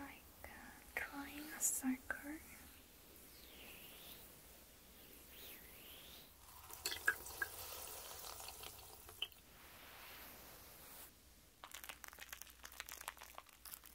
Like uh, drawing a circle.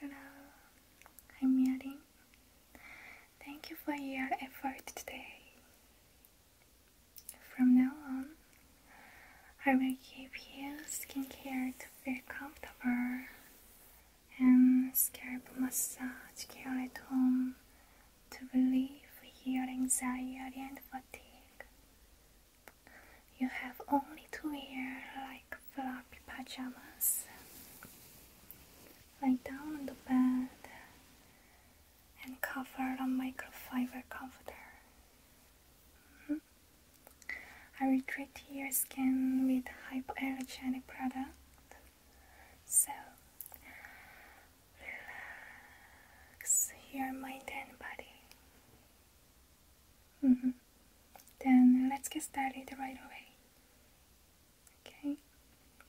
Hello, I'm Yarin. Thank you for your effort today. From now on, I will give you skincare to feel comfortable and scalp massage care at home to relieve your anxiety and fatigue. You have only to wear like floppy pajamas. Lie down on the bed and cover on microfiber comforter. Mm-hmm. I will treat your skin with hypoallergenic product. So relax your mind and body. Mm -hmm. Then let's get started right away. Okay.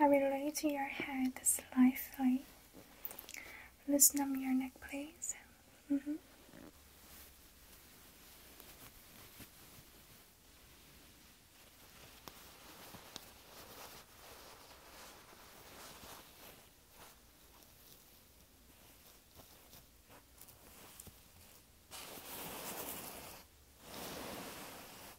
I will relate your head slightly. Loosen up your neck, please. Mm-hmm.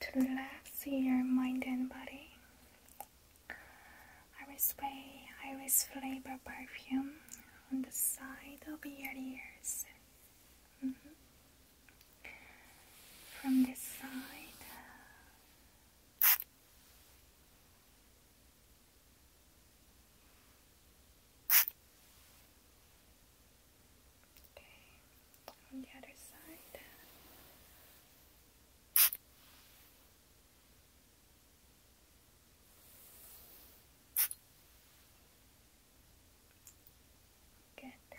To relax your mind and body, I will spray iris flavor perfume on the side of your ears. Mm-hmm. From this side, Okay, on the other side. Good.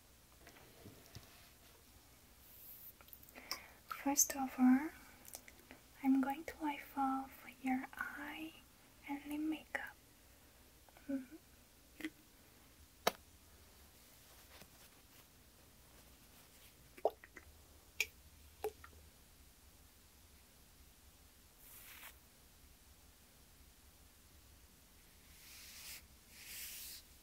First of all, I'm going to wipe off your eye and the makeup.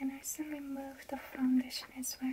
And also remove the foundation as well.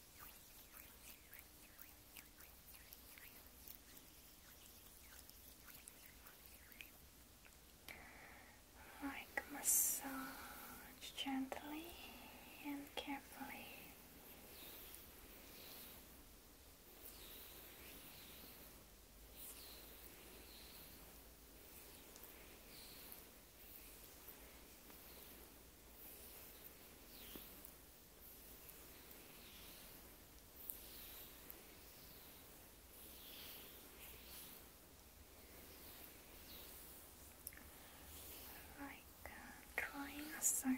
Like massage gently and carefully like uh, drawing a circle.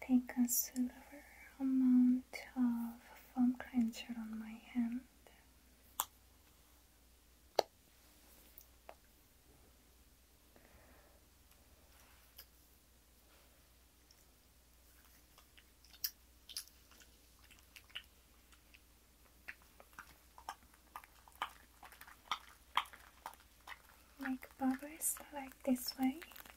take a silver amount of foam cleanser on my hand. Make bubbles like this way.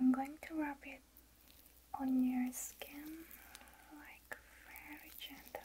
I'm going to rub it on your skin like very gently.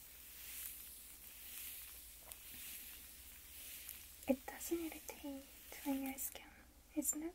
It doesn't irritate my skin, isn't it?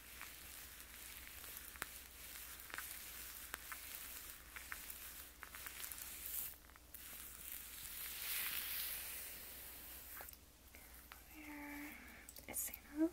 Where is enough?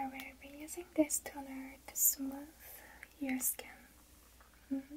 I will be using this toner to smooth your skin. Mm-hmm.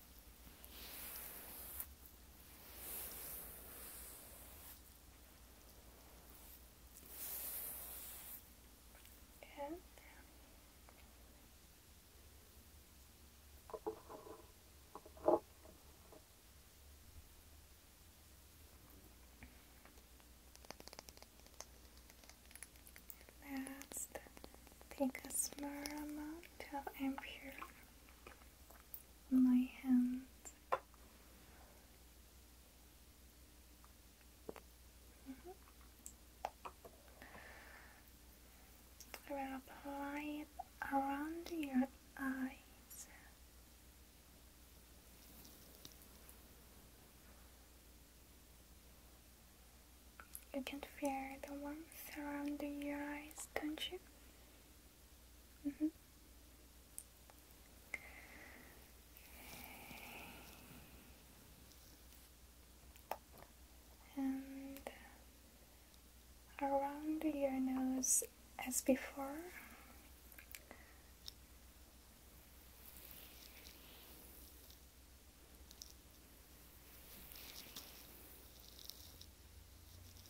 and down. Last, take a small amount of impure my hand. Mm-hmm. I will apply it around your eyes. You can feel the warmth around your eyes, don't you? Mm-hmm. And around your nose as before.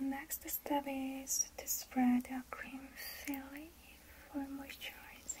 The next step is to spread a cream filling for moisturizing.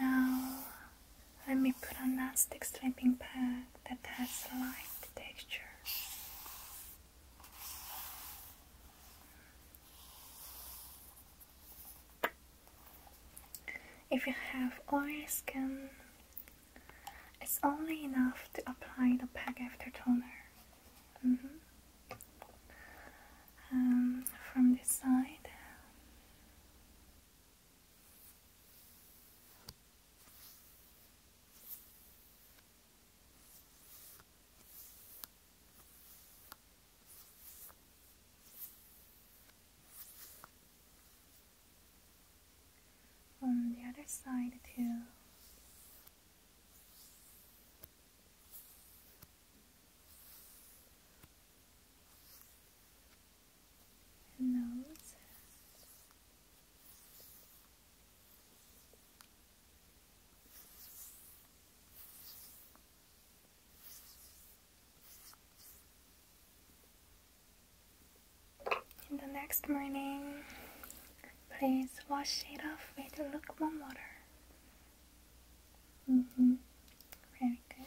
Now, let me put on that stick pad that has light texture. If you have oily skin, it's only enough to apply the pack after toner. Mm-hmm. Um, from this side. On the other side too and nose. And the next morning, Please wash it off with lukewarm water. Mm -hmm. Very good.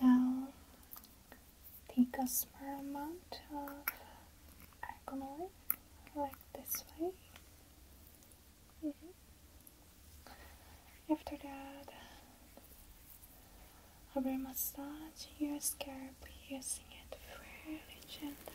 Now take a small amount of alcohol like this way. Mm-hmm. After that, a brain massage, your scalp, using it very gently.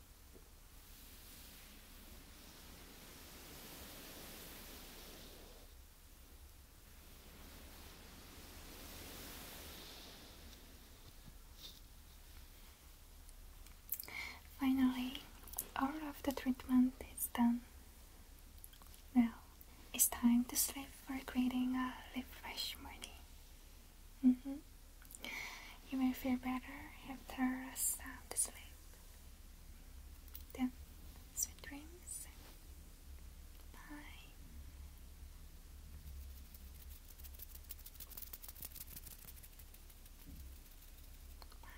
Finally, all of the treatment is done. Now, it's time to sleep for creating a refresh morning. Mm-hmm. You will feel better after a sound sleep. Then, sweet dreams. Bye. Bye.